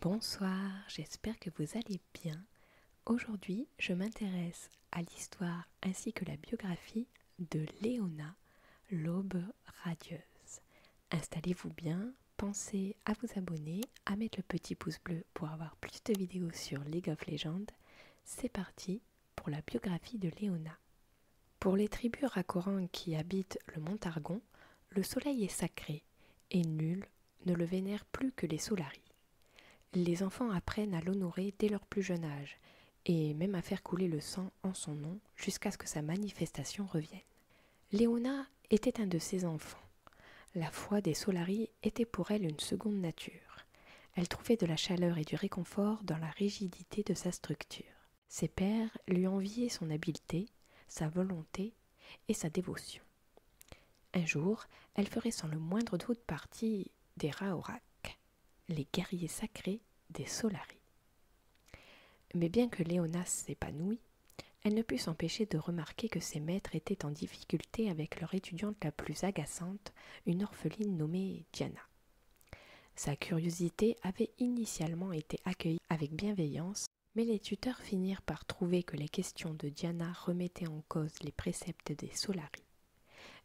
Bonsoir, j'espère que vous allez bien. Aujourd'hui, je m'intéresse à l'histoire ainsi que la biographie de Léona, l'aube radieuse. Installez-vous bien, pensez à vous abonner, à mettre le petit pouce bleu pour avoir plus de vidéos sur League of Legends. C'est parti, pour la biographie de Léona. Pour les tribus Rakoran qui habitent le mont Argon, le soleil est sacré et nul ne le vénère plus que les Solari. Les enfants apprennent à l'honorer dès leur plus jeune âge et même à faire couler le sang en son nom jusqu'à ce que sa manifestation revienne. Léona était un de ces enfants. La foi des Solari était pour elle une seconde nature. Elle trouvait de la chaleur et du réconfort dans la rigidité de sa structure. Ses pères lui enviaient son habileté, sa volonté et sa dévotion. Un jour, elle ferait sans le moindre doute partie des Raorak, les guerriers sacrés des Solari. Mais bien que Léonas s'épanouit, elle ne put s'empêcher de remarquer que ses maîtres étaient en difficulté avec leur étudiante la plus agaçante une orpheline nommée Diana. Sa curiosité avait initialement été accueillie avec bienveillance, mais les tuteurs finirent par trouver que les questions de Diana remettaient en cause les préceptes des Solari.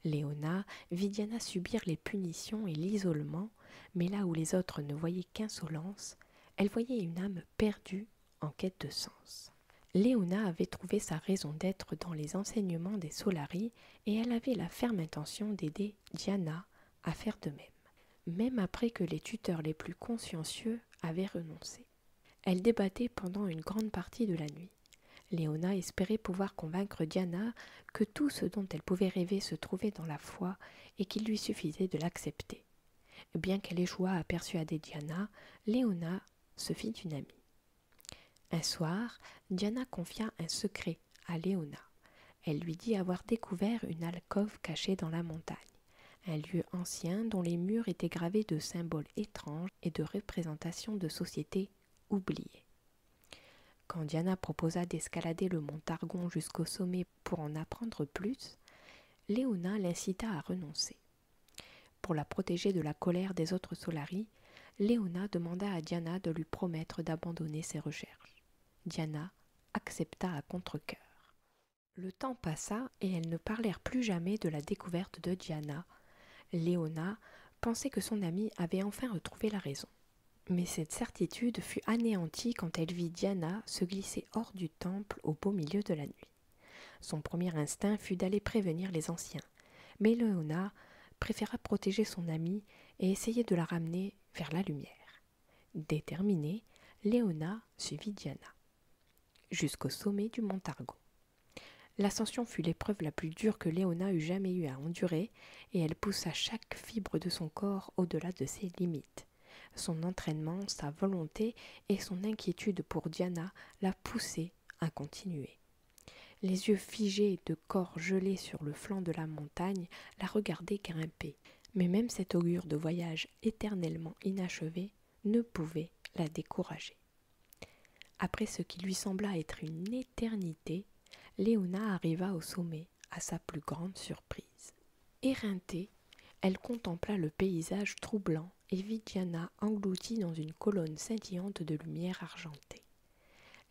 Léona vit Diana subir les punitions et l'isolement, mais là où les autres ne voyaient qu'insolence, elle voyait une âme perdue en quête de sens. Léona avait trouvé sa raison d'être dans les enseignements des Solari et elle avait la ferme intention d'aider Diana à faire de même, même après que les tuteurs les plus consciencieux avaient renoncé. Elle débattait pendant une grande partie de la nuit. Léona espérait pouvoir convaincre Diana que tout ce dont elle pouvait rêver se trouvait dans la foi et qu'il lui suffisait de l'accepter. Bien qu'elle échouât à persuader Diana, Léona se fit une amie. Un soir, Diana confia un secret à Léona. Elle lui dit avoir découvert une alcôve cachée dans la montagne, un lieu ancien dont les murs étaient gravés de symboles étranges et de représentations de sociétés oubliées. Quand Diana proposa d'escalader le mont Targon jusqu'au sommet pour en apprendre plus, Léona l'incita à renoncer. Pour la protéger de la colère des autres Solaris, Léona demanda à Diana de lui promettre d'abandonner ses recherches. Diana accepta à contre Le temps passa et elles ne parlèrent plus jamais de la découverte de Diana. Léona pensait que son amie avait enfin retrouvé la raison. Mais cette certitude fut anéantie quand elle vit Diana se glisser hors du temple au beau milieu de la nuit. Son premier instinct fut d'aller prévenir les anciens, mais Léona préféra protéger son amie et essayer de la ramener vers la lumière. Déterminée, Léona suivit Diana jusqu'au sommet du mont Argo. L'ascension fut l'épreuve la plus dure que Léona eût jamais eu à endurer, et elle poussa chaque fibre de son corps au-delà de ses limites. Son entraînement, sa volonté et son inquiétude pour Diana la poussaient à continuer. Les yeux figés, de corps gelés sur le flanc de la montagne, la regardaient grimper. Mais même cet augure de voyage éternellement inachevé ne pouvait la décourager. Après ce qui lui sembla être une éternité, Léona arriva au sommet, à sa plus grande surprise. Éreintée, elle contempla le paysage troublant et engloutie dans une colonne scintillante de lumière argentée.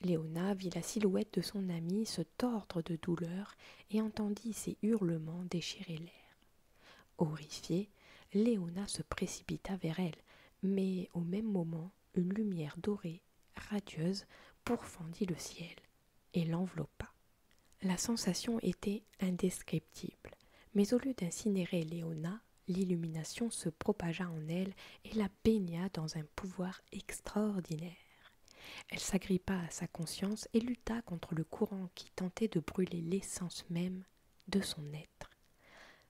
Léona vit la silhouette de son amie se tordre de douleur et entendit ses hurlements déchirer l'air. Horrifiée, Léona se précipita vers elle, mais au même moment, une lumière dorée, radieuse, pourfendit le ciel et l'enveloppa. La sensation était indescriptible mais au lieu d'incinérer Léona, l'illumination se propagea en elle et la baigna dans un pouvoir extraordinaire. Elle s'agrippa à sa conscience et lutta contre le courant qui tentait de brûler l'essence même de son être.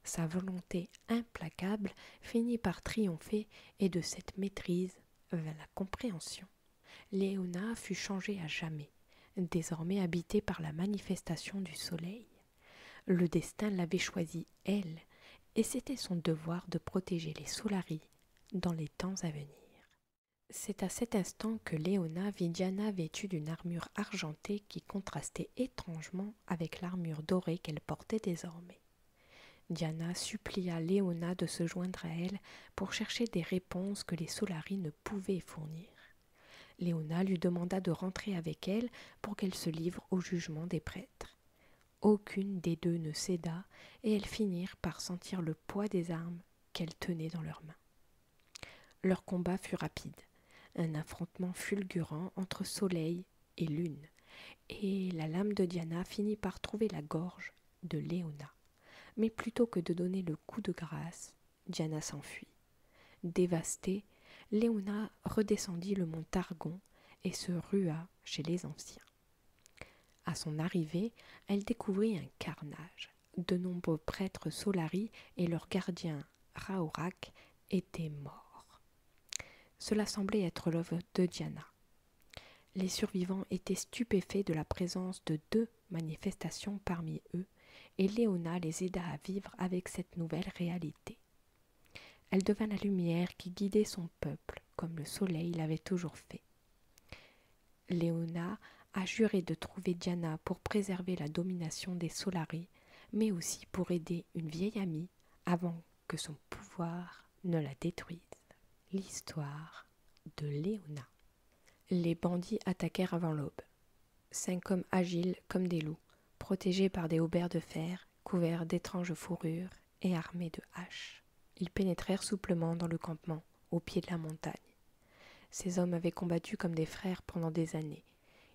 Sa volonté implacable finit par triompher et de cette maîtrise vint la compréhension. Léona fut changée à jamais désormais habitée par la manifestation du soleil. Le destin l'avait choisie, elle, et c'était son devoir de protéger les Solaris dans les temps à venir. C'est à cet instant que Léona vit Diana vêtue d'une armure argentée qui contrastait étrangement avec l'armure dorée qu'elle portait désormais. Diana supplia Léona de se joindre à elle pour chercher des réponses que les Solaris ne pouvaient fournir. Léona lui demanda de rentrer avec elle pour qu'elle se livre au jugement des prêtres. Aucune des deux ne céda, et elles finirent par sentir le poids des armes qu'elles tenaient dans leurs mains. Leur combat fut rapide, un affrontement fulgurant entre soleil et lune, et la lame de Diana finit par trouver la gorge de Léona. Mais plutôt que de donner le coup de grâce, Diana s'enfuit. Dévastée, Léona redescendit le mont Targon et se rua chez les anciens. À son arrivée, elle découvrit un carnage. De nombreux prêtres Solari et leur gardien Raorak étaient morts. Cela semblait être l'œuvre de Diana. Les survivants étaient stupéfaits de la présence de deux manifestation parmi eux, et Léona les aida à vivre avec cette nouvelle réalité. Elle devint la lumière qui guidait son peuple, comme le soleil l'avait toujours fait. Léona a juré de trouver Diana pour préserver la domination des Solari, mais aussi pour aider une vieille amie avant que son pouvoir ne la détruise. L'histoire de Léona. Les bandits attaquèrent avant l'aube. Cinq hommes agiles comme des loups, protégés par des hauberts de fer, couverts d'étranges fourrures et armés de haches. Ils pénétrèrent souplement dans le campement, au pied de la montagne. Ces hommes avaient combattu comme des frères pendant des années.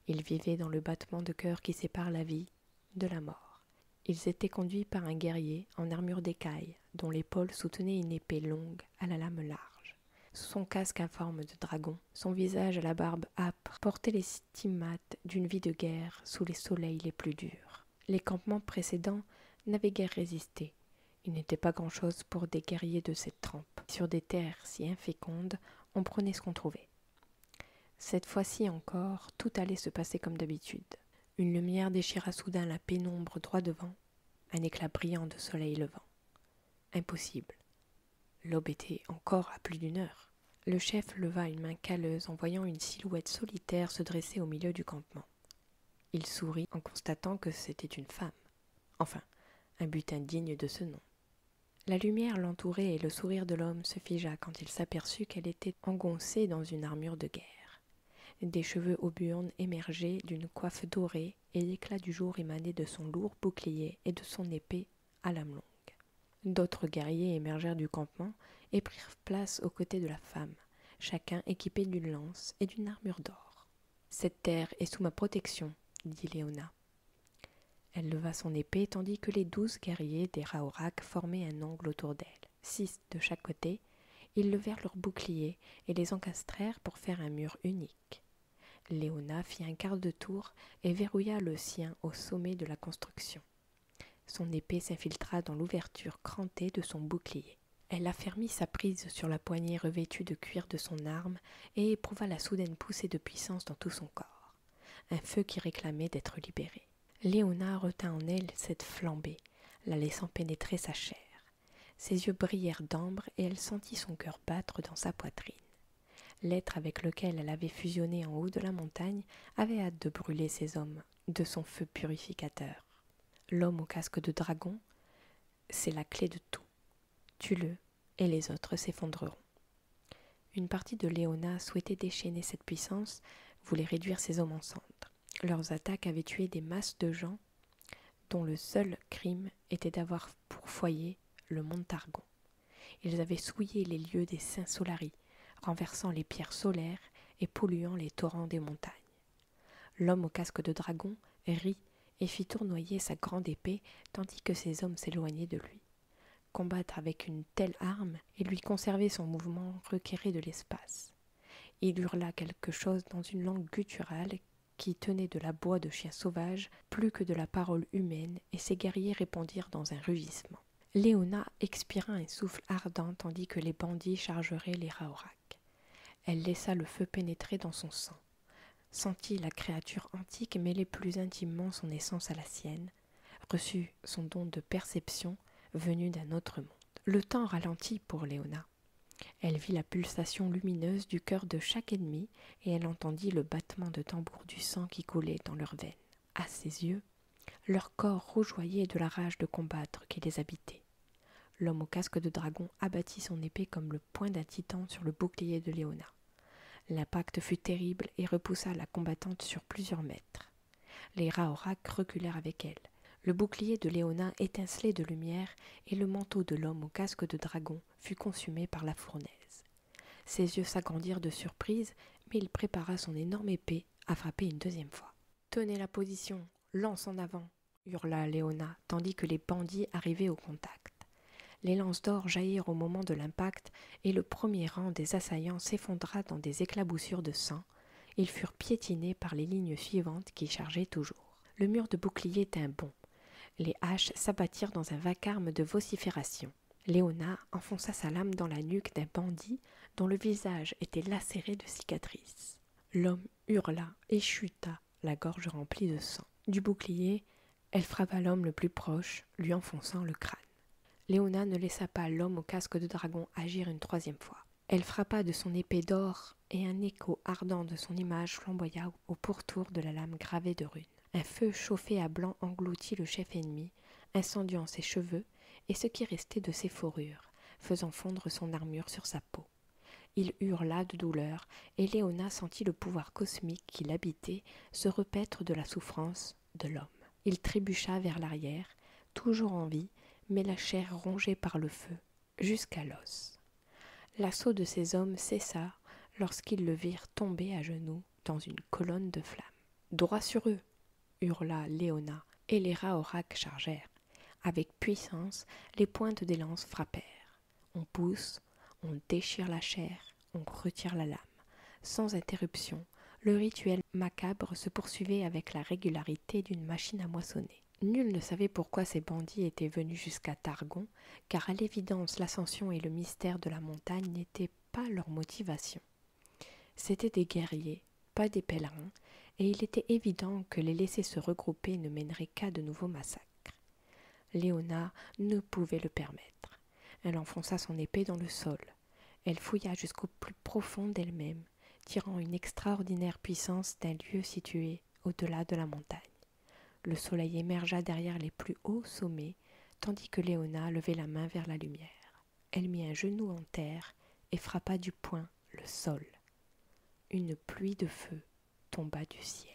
Ils vivaient dans le battement de cœur qui sépare la vie de la mort. Ils étaient conduits par un guerrier en armure d'écaille, dont l'épaule soutenait une épée longue à la lame large son casque informe forme de dragon, son visage à la barbe âpre portait les stigmates d'une vie de guerre sous les soleils les plus durs. Les campements précédents n'avaient guère résisté. Il n'était pas grand-chose pour des guerriers de cette trempe. Sur des terres si infécondes, on prenait ce qu'on trouvait. Cette fois-ci encore, tout allait se passer comme d'habitude. Une lumière déchira soudain la pénombre droit devant, un éclat brillant de soleil levant. Impossible. L'aube était encore à plus d'une heure. Le chef leva une main calleuse en voyant une silhouette solitaire se dresser au milieu du campement. Il sourit en constatant que c'était une femme. Enfin, un butin digne de ce nom. La lumière l'entourait et le sourire de l'homme se figea quand il s'aperçut qu'elle était engoncée dans une armure de guerre. Des cheveux auburnes émergeaient d'une coiffe dorée, et l'éclat du jour émanait de son lourd bouclier et de son épée à lame longue. D'autres guerriers émergèrent du campement et prirent place aux côtés de la femme, chacun équipé d'une lance et d'une armure d'or. Cette terre est sous ma protection, dit Léona. Elle leva son épée tandis que les douze guerriers des Raorak formaient un angle autour d'elle, six de chaque côté, ils levèrent leurs boucliers et les encastrèrent pour faire un mur unique. Léona fit un quart de tour et verrouilla le sien au sommet de la construction. Son épée s'infiltra dans l'ouverture crantée de son bouclier. Elle affermit sa prise sur la poignée revêtue de cuir de son arme et éprouva la soudaine poussée de puissance dans tout son corps, un feu qui réclamait d'être libéré. Léona retint en elle cette flambée, la laissant pénétrer sa chair. Ses yeux brillèrent d'ambre et elle sentit son cœur battre dans sa poitrine. L'être avec lequel elle avait fusionné en haut de la montagne avait hâte de brûler ses hommes de son feu purificateur. L'homme au casque de dragon, c'est la clé de tout. Tue-le et les autres s'effondreront. Une partie de Léona souhaitait déchaîner cette puissance, voulait réduire ses hommes en cendres. Leurs attaques avaient tué des masses de gens dont le seul crime était d'avoir pour foyer le mont Targon. Ils avaient souillé les lieux des saints Solari, renversant les pierres solaires et polluant les torrents des montagnes. L'homme au casque de dragon rit et fit tournoyer sa grande épée tandis que ses hommes s'éloignaient de lui. Combattre avec une telle arme et lui conserver son mouvement requéré de l'espace. Il hurla quelque chose dans une langue gutturale qui tenait de la bois de chien sauvage plus que de la parole humaine, et ses guerriers répondirent dans un rugissement. Léona expira un souffle ardent tandis que les bandits chargeraient les Raorak. Elle laissa le feu pénétrer dans son sang, sentit la créature antique mêler plus intimement son essence à la sienne, reçut son don de perception venu d'un autre monde. Le temps ralentit pour Léona. Elle vit la pulsation lumineuse du cœur de chaque ennemi et elle entendit le battement de tambour du sang qui coulait dans leurs veines. À ses yeux, leur corps rougeoyait de la rage de combattre qui les habitait. L'homme au casque de dragon abattit son épée comme le poing d'un titan sur le bouclier de Léona. L'impact fut terrible et repoussa la combattante sur plusieurs mètres. Les Raorak reculèrent avec elle. Le bouclier de Léonin étincelait de lumière, et le manteau de l'homme au casque de dragon fut consumé par la fournaise. Ses yeux s'agrandirent de surprise, mais il prépara son énorme épée à frapper une deuxième fois. Tenez la position, lance en avant, hurla Léona, tandis que les bandits arrivaient au contact. Les lances d'or jaillirent au moment de l'impact, et le premier rang des assaillants s'effondra dans des éclaboussures de sang, ils furent piétinés par les lignes suivantes qui chargeaient toujours. Le mur de bouclier était un bond. Les haches s'abattirent dans un vacarme de vocifération Léona enfonça sa lame dans la nuque d'un bandit dont le visage était lacéré de cicatrices. L'homme hurla et chuta, la gorge remplie de sang. Du bouclier, elle frappa l'homme le plus proche, lui enfonçant le crâne. Léona ne laissa pas l'homme au casque de dragon agir une troisième fois. Elle frappa de son épée d'or, et un écho ardent de son image flamboya au pourtour de la lame gravée de runes. Un feu chauffé à blanc engloutit le chef ennemi, incendiant ses cheveux et ce qui restait de ses fourrures, faisant fondre son armure sur sa peau. Il hurla de douleur, et Léona sentit le pouvoir cosmique qui l'habitait se repaître de la souffrance de l'homme. Il trébucha vers l'arrière, toujours en vie, mais la chair rongée par le feu, jusqu'à l'os. L'assaut de ces hommes cessa lorsqu'ils le virent tomber à genoux dans une colonne de flammes. Droit sur eux hurla Léona, et les Raorak chargèrent. Avec puissance, les pointes des lances frappèrent. On pousse, on déchire la chair, on retire la lame. Sans interruption, le rituel macabre se poursuivait avec la régularité d'une machine à moissonner. Nul ne savait pourquoi ces bandits étaient venus jusqu'à Targon, car à l'évidence l'ascension et le mystère de la montagne n'étaient pas leur motivation. C'étaient des guerriers, pas des pèlerins, et il était évident que les laisser se regrouper ne mènerait qu'à de nouveaux massacres. Léona ne pouvait le permettre. Elle enfonça son épée dans le sol. Elle fouilla jusqu'au plus profond d'elle-même tirant une extraordinaire puissance d'un lieu situé au-delà de la montagne. Le soleil émergea derrière les plus hauts sommets, tandis que Léona levait la main vers la lumière. Elle mit un genou en terre et frappa du poing le sol. Une pluie de feu tomba du ciel.